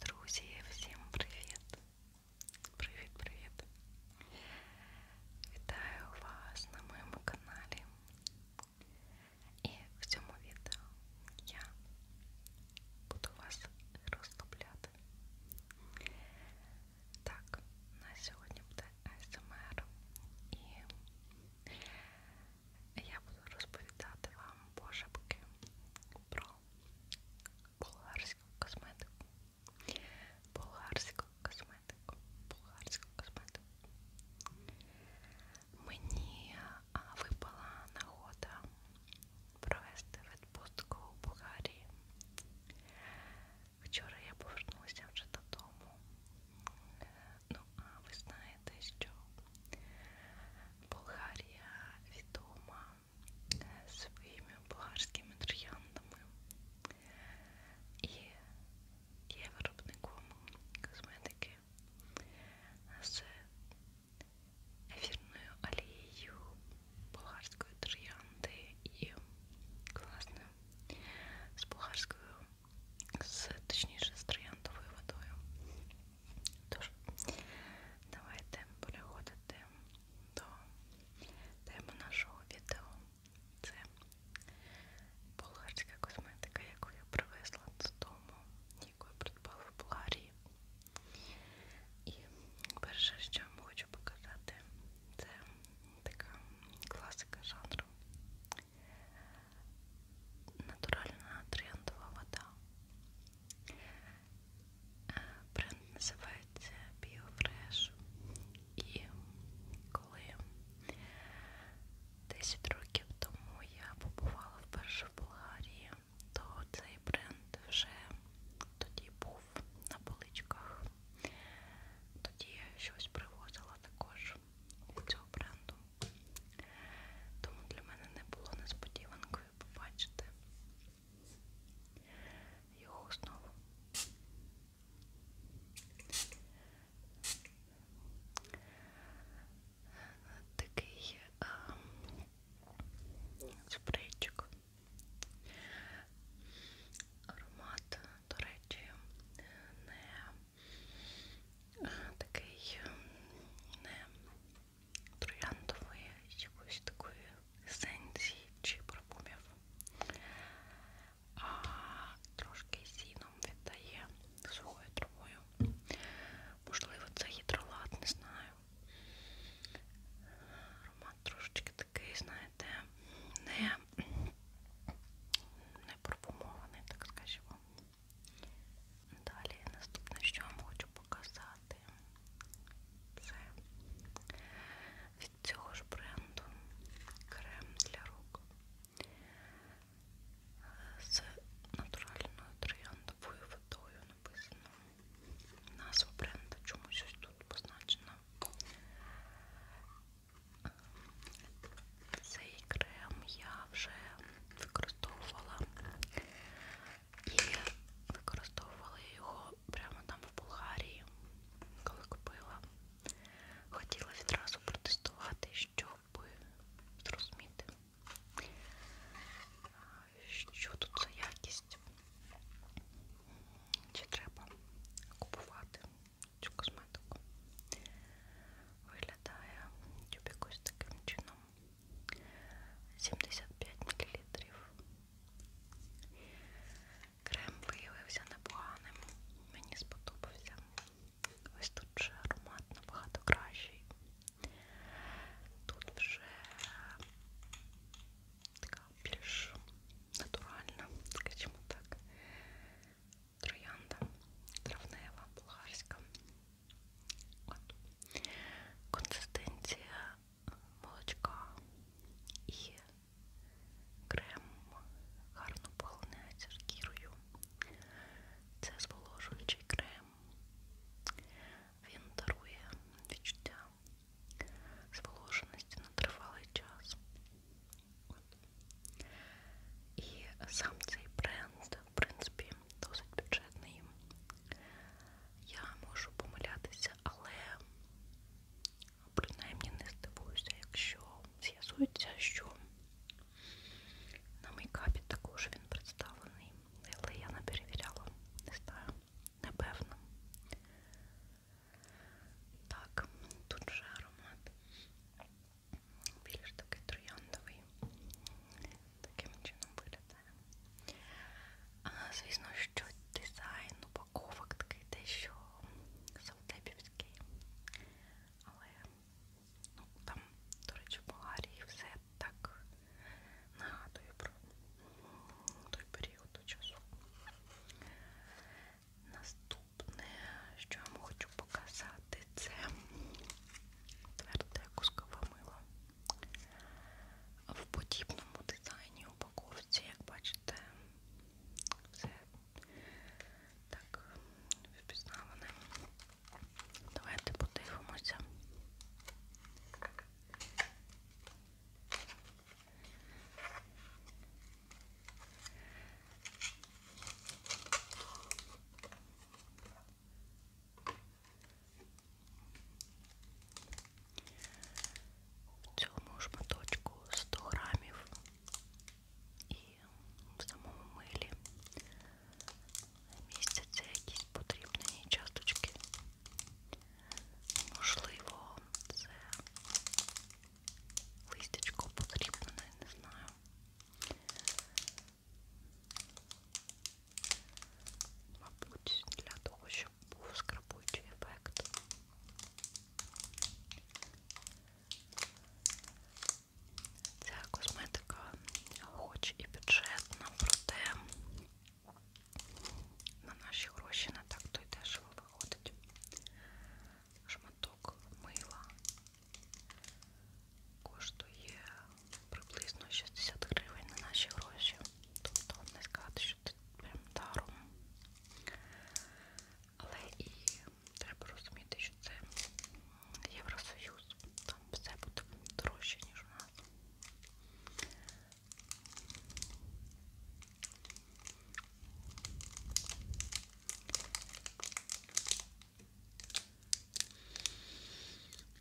Друзі, всім привіт! Привіт-привіт! Вітаю вас на моєму каналі. І в цьому відео я буду вас розтопляти. Так, на сьогодні буде АСМР ем і я буду розповідати вам пошепки про болгарську косметику. Болгарську косметику. Болгарську косметику. Мені випала нагода провести відпустку в Болгарії. Вчора я повернулася вже додому. Е, ну, а ви знаєте, що Болгарія відома е, своїми болгарськими трояндами і є виробником косметики з ефірною олією болгарської троянди і, власне, з болгарською, з, точніше, з трояндовою водою. Тож, давайте переходити до теми нашого відео. Це болгарська косметика, яку я привезла з дому, яку я придбала в Болгарії. І перше, що я вам хочу показати, це така класика жанру. Натуральна трендова вода. Бренд називається BioFresh. І коли 10 років тому я побувала вперше в Болгарії, то цей бренд вже тоді був на поличках. Тоді я щось привозила також від цього бренду. Тому для мене не було несподіванкою, побачити його основу. Такий а, спрейчик. Аромат, до речі, не такий не трояндової якоїсь такої есенції чи парфумів. А трошки сіном віддає сухою травою. Можливо, це гідролат, не знаю. Аромат трошечки такий, знаєте, не, не парфумований, так скажімо. Далі наступне, що вам хочу показати, це від цього ж бренду крем для рук з натуральною трояндовою водою написано. Назва бренду чомусь ось тут позначена. Цей крем я вже використовувала і використовувала його прямо там в Болгарії, коли купила. Хотіла відразу протестувати, щоб зрозуміти, що тут за якість, чи треба купувати цю косметику. Виглядає тюб якось таким чином. 75 мл. Крем виявився непоганим, мені сподобався. Ось тут вже аромат набагато кращий. Тут вже така більш натуральна, скажімо так, троянда, травнева, булгарська. От. Консистенція молочка і крем гарно поглинається шкірою. Це зволожуючий крем. Він дарує відчуття зволоженості на тривалий час. От. І сам цей бренд, в принципі, досить бюджетний. Я можу помилятися, але принаймні не здивуюся, якщо з'ясується, що на мейкапі також він представлений. Але я не перевіряла, не знаю, непевно. Так, тут же аромат. Більш такий трояндовий. Таким чином виглядає. А, Звісно, що дизайн упаковок такий дещо совдепівський. Але ну, там, до речі, в Болгарії все так нагадує про той період часу. Наступне, що я вам хочу показати, це тверде кускове мило. В подібному дизайні упаковці, як бачите, все так впізнаване. Давайте подивимося. В цьому шматочку 100 грамів і в самому милі містяться якісь потрібні часточки. Можливо, це листячко потрібне, не знаю мабуть, для того, щоб був скрапуючий ефект. Ця косметика хоч і бюджетна, проте на наші гроші не так то й дешево виходить. Шматок мила коштує приблизно 60 гривень на наші гроші. Тобто не сказати, що це прям даром. Але і треба розуміти, що це Євросоюз. Там все буде дорожче, ніж у нас.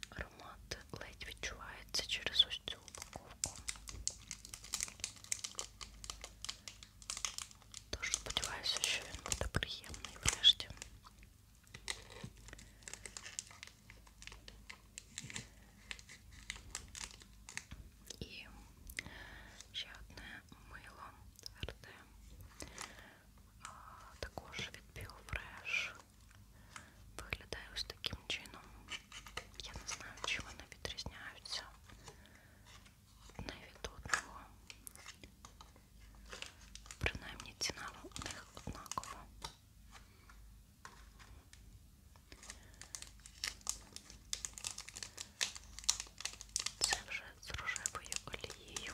Аромат ледь відчувається через ось цю упаковку. Тож сподіваюся, що він буде приємний врешті. І ще одне мило РД. Також від BioFresh виглядає ось таким чином. Я не знаю, чим вони відрізняються одне від одного. Принаймні ціна у них однакова. Це вже з рожевою олією.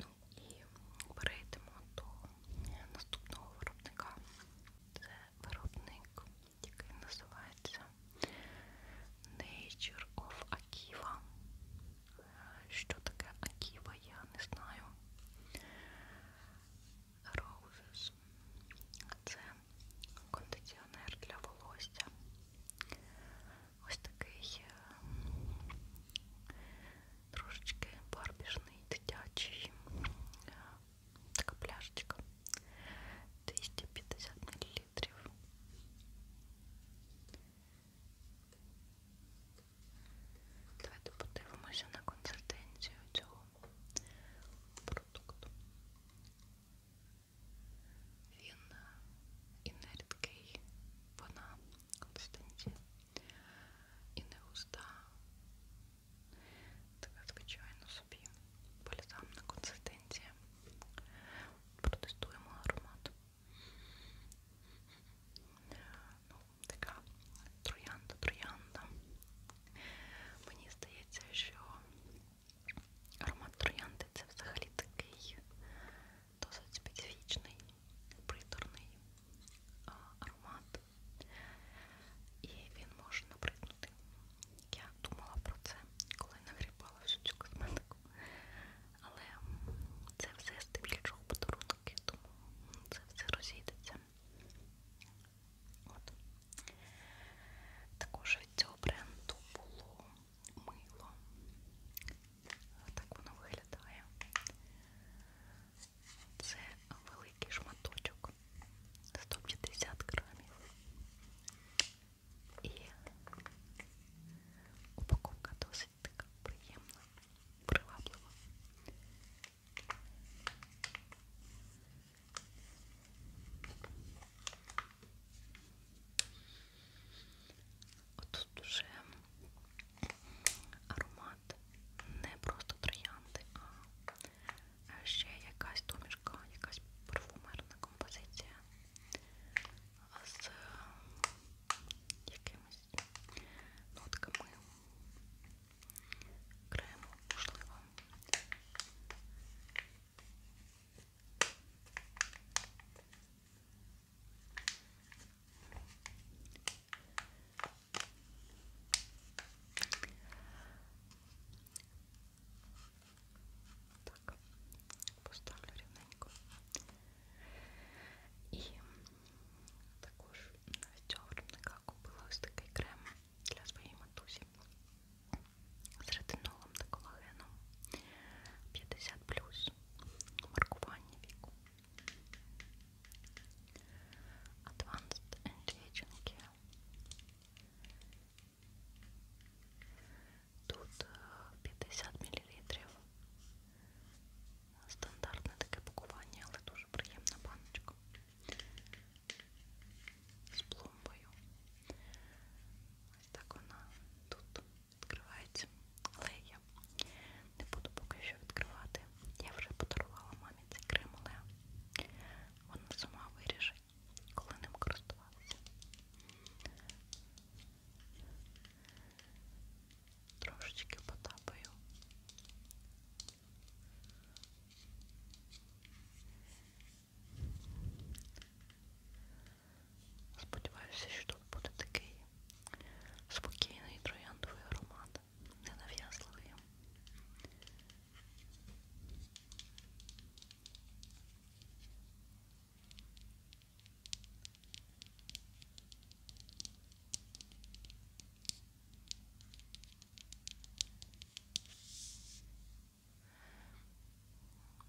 Ну і перейдемо до наступного виробника. Це виробник, який називається Nature of Akiva. Що таке Akiva, я не знаю. Roses також це кондиціонер для волосся. Ось такий е, трошечки барбіжний, дитячий, е, така пляшечка 250 мл. Давайте подивимося на консистенцію цього продукту. Він е, інерткий, вона Константі і не густа. Така звичайно собі бальзамна консистенція. Протестуємо аромат. Ну, така троянда, троянда. Мені здається, що Аромат троянди це взагалі такий досить специфічний, приторний а, аромат. І він може набриднути. Я думала про це, коли нагрібала всю цю косметику. Але це все здебільшого подарунки, тому це все розійдеться. От. Також від цього бренду було мило. Так воно виглядає. Це великий шматочок 150 грамів. І упаковка досить така приємна, приваблива. Отут уже аромат не просто троянди, а ще якась домішка, якась парфумерна композиція з якимись нотками крему, можливо. Так, поставлю рівненько. І також на цього виробника купила ось такий крем для своєї матусі з ретинолом та колагеном 50 плюс маркування віку. Advanced Anti-Aging Care. Тут 50 е, мл. Стандартне таке пакування, але дуже приємна баночка. З пломбою. Ось так вона тут відкривається. Але я не буду поки що відкривати. Я вже подарувала мамі цей крем, але вона сама вирішить, коли ним користуватися. Трошечки потапаю. Сподіваюся, що тут буде такий спокійний трояндовий аромат, ненав'язливий.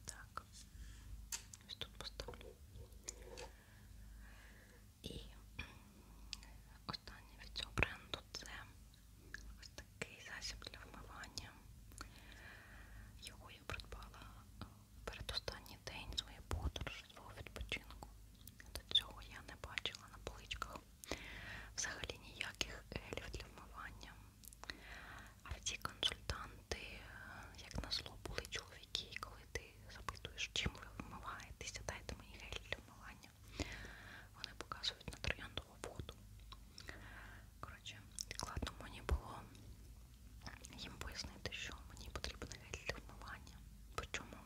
Так, ось тут поставлю. І останнє від цього бренду це ось такий засіб для вмивання. Його я придбала е, перед останній день своєї подорожі, свого відпочинку. До цього я не бачила на поличках взагалі ніяких гелів для вмивання. А в ті консультанти, е, як назло, були чоловіки, і коли ти запитуєш, чим ви вмиваєтеся, дайте мені гель для вмивання. Вони показують на трояндову воду. Коротше, складно мені було їм пояснити, що мені потрібен гель для вмивання. Причому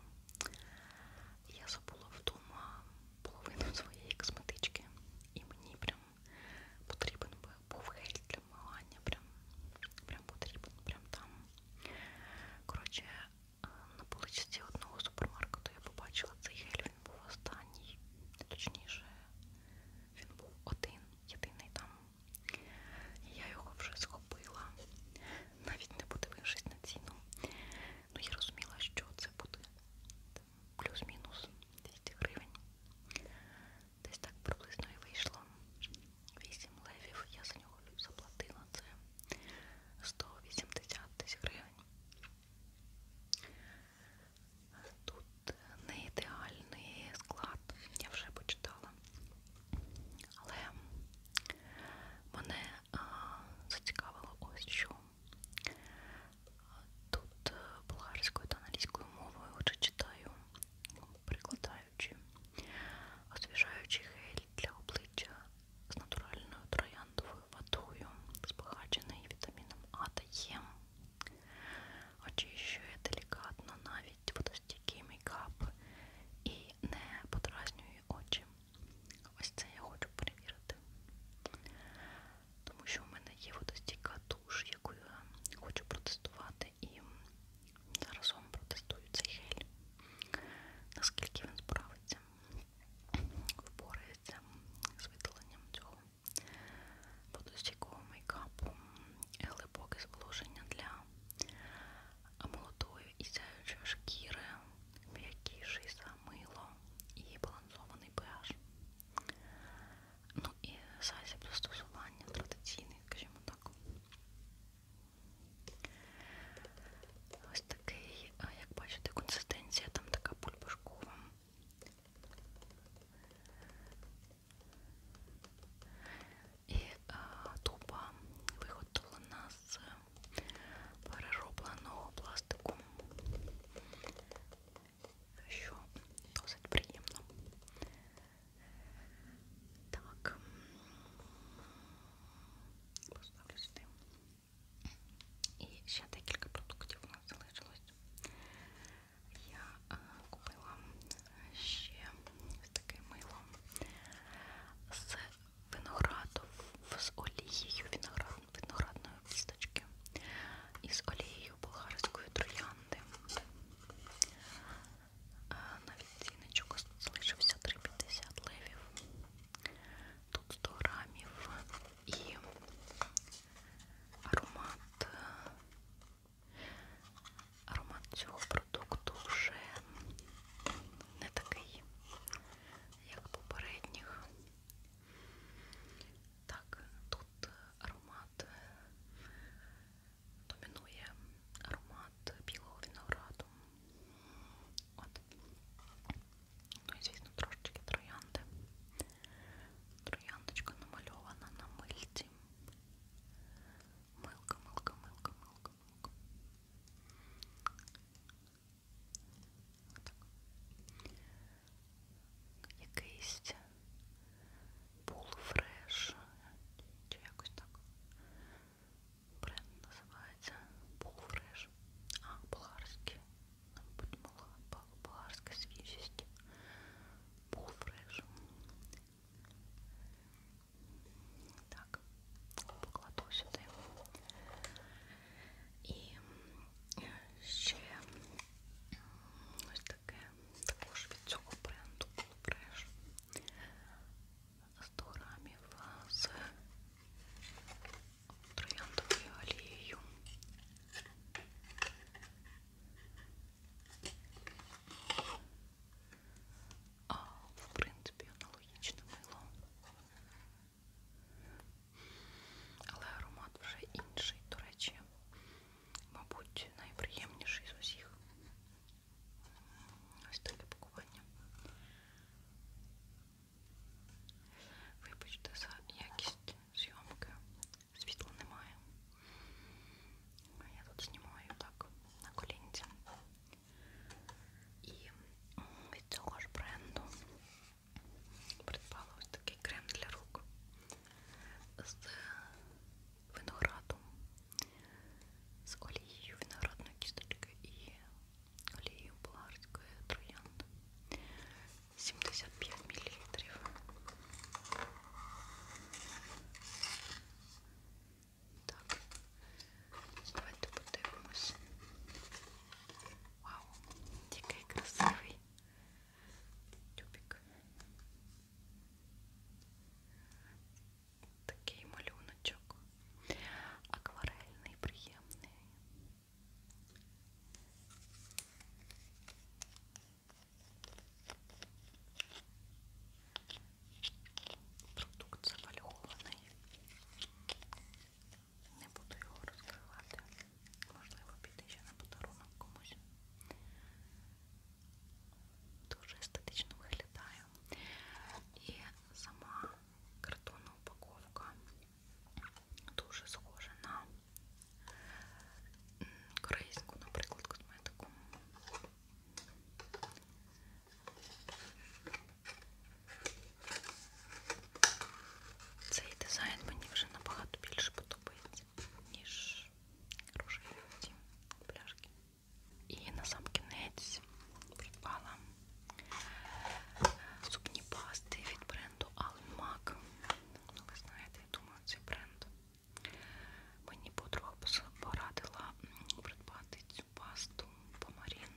я забула вдома половину своєї косметички і мені прям потрібен був гель для милання, прям, прям потрібен, прям там. Коротше, е, на поличці одного супермаркету я побачила цей гель, він був останній, точніше, він був один, єдиний там. Я його вже схопила, навіть не подивившись на ціну. Ну я розуміла, що це буде плюс-мінус 200 гривень. Десь так приблизно і вийшло. 8 левів, я за нього заплатила це 180 тисяч гривень. Тут не ідеальний склад, я вже почитала. Але мене а, зацікавило ось що. Тут е, болгарською та англійською мовою отже читаю, прикладаючи, освіжаючий гель для обличчя з натуральною трояндовою водою, збагачений вітаміном А та Е. Очищує делікатно навіть водостійкий мейкап і не подразнює очі. Ось це я хочу перевірити тому що в мене є водостійка душ, яку я хочу протестувати, і зараз вам протестую цей гель, наскільки він справиться, впорається з видаленням цього водостійкого мейкапу, глибоке зволоження для молодої і сяючої шкіри, м'якіший за мило і балансований pH. Ну і сайзі пристосування традиційний, скажімо так. Ось такий, як бачите, консистенція, там така пульпашкова. І туба виготовлена з переробленого пластику що досить приємно. Так, поставлю сюди. І ще декілька продуктів у нас залишилось. Я а, е, купила ще таке мило з винограду, з олією виноград, виноградної кісточки і з олією болгарської троянди. Навіть ціночок залишився 3,50 левів. Тут 100 грамів і аромат. Е, аромат цього продукту вже не такий, як попередніх. Так, тут аромат е, домінує аромат білого винограду. От. Ну і звісно трошечки троянди. Трояндочка намальована на мильці. Милка, милка, милка, милка, милка. Отак. Якийсь Полфреш. Чи якось так. Бренд називається Полфреш. А, болгарський. Подумала, болгарська свіжість. Полфреш. Так, покладу сюди. І е, ще ось таке, також від цього бренду було бреш. 100 грамів з трояндовою олією. А, в принципі, аналогічне мило. Але аромат вже інший, до речі мабуть, найприємніший з усіх. Ось таке пакування. Вибачте за якість зйомки. Світла немає. Я тут знімаю так на колінці. І від цього ж бренду придбала ось такий крем для рук з винограду з олією виноградної кісточки і олією булгарської троянди 75 мл. Так, давайте подивимось. Вау, який красивий тюбик. Такий малюночок. Акварельний, приємний. Продукт завальгований. Не буду його розкривати. Можливо, піти ще на подарунок комусь дуже естетично виглядає. І сама картонна упаковка дуже схожа на корейську, наприклад, косметику. Цей дизайн мені вже набагато більше подобається, ніж пляж. Хороший ті пляшки. І на сам кінець придбала зубні пасти від бренду Alan Mac. Ну, ви знаєте, я думаю, цей бренд. Мені подруга порадила придбати цю пасту помарін.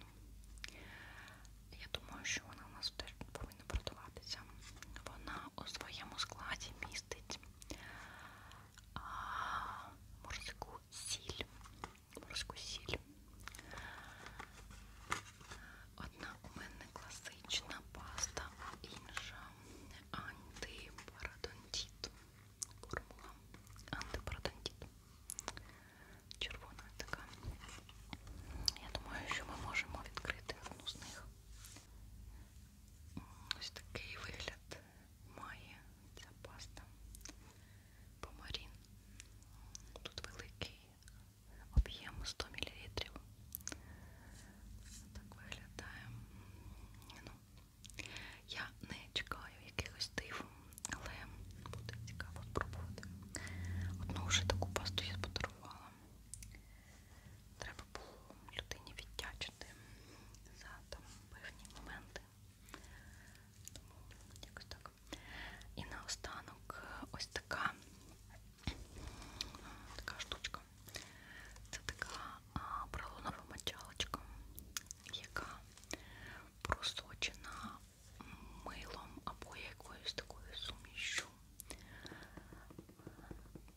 Я думаю, що вона у нас теж повинна продаватися. Вона у своєму складі містить морську сіль. Морську сіль. Одна у мене класична паста, інша антипарадонтіт. Формула антипарадонтіт. Червона така. Я думаю, що ми можемо відкрити одну з них. Ось такий вигляд має ця паста помарін. Тут великий об'єм 100 мл. Так виглядає. Ну, я не чекаю якихось див, але буде цікаво спробувати. Одну вже таку пасту я подарувала. Треба було людині віддячити за там певні моменти. Тому якось так. І наостанок ось така така штучка. Це така поролонова мочалочка, яка просочена милом або якоюсь такою сумішю.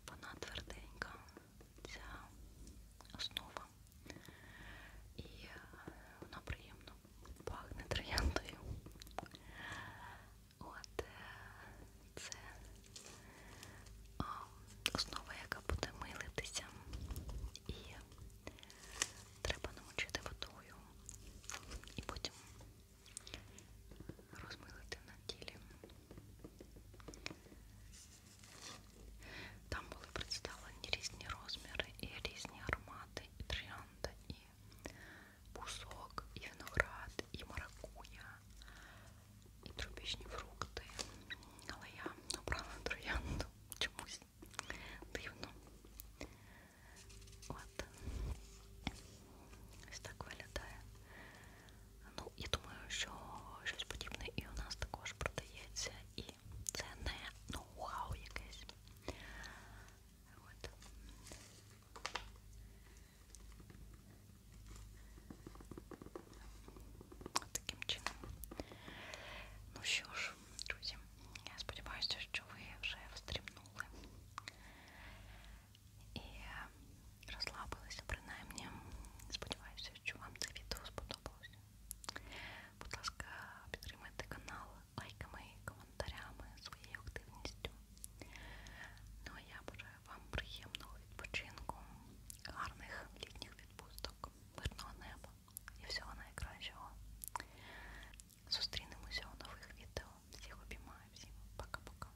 Вона тверденька, ця основа. І е, вона приємно пахне трояндою. От е, це основа, яка буде милитися. І треба намочити водою. І потім розмилити на тілі. Там були представлені різні розміри і різні аромати, і тріанда, і бусок, і виноград, і маракуя, і тропічні фрукти. Але я обрала троянду чомусь дивно. От. Ось так виглядає Ну, я думаю, що щось подібне і у нас також продається, і це не ноу-хау якесь. От. Таким чином. Ну що ж, друзі, я сподіваюся, що ви вже встрімнули. І розслабилися, ну, принаймні. Сподіваюся, що вам це відео сподобалося. Будь ласка, підтримайте канал лайками, коментарями, своєю активністю. Ну а я бажаю вам приємного відпочинку, гарних літніх відпусток, мирного неба і всього найкращого. Зустрінемося у нових відео. Всіх обіймаю, всім пока-пока.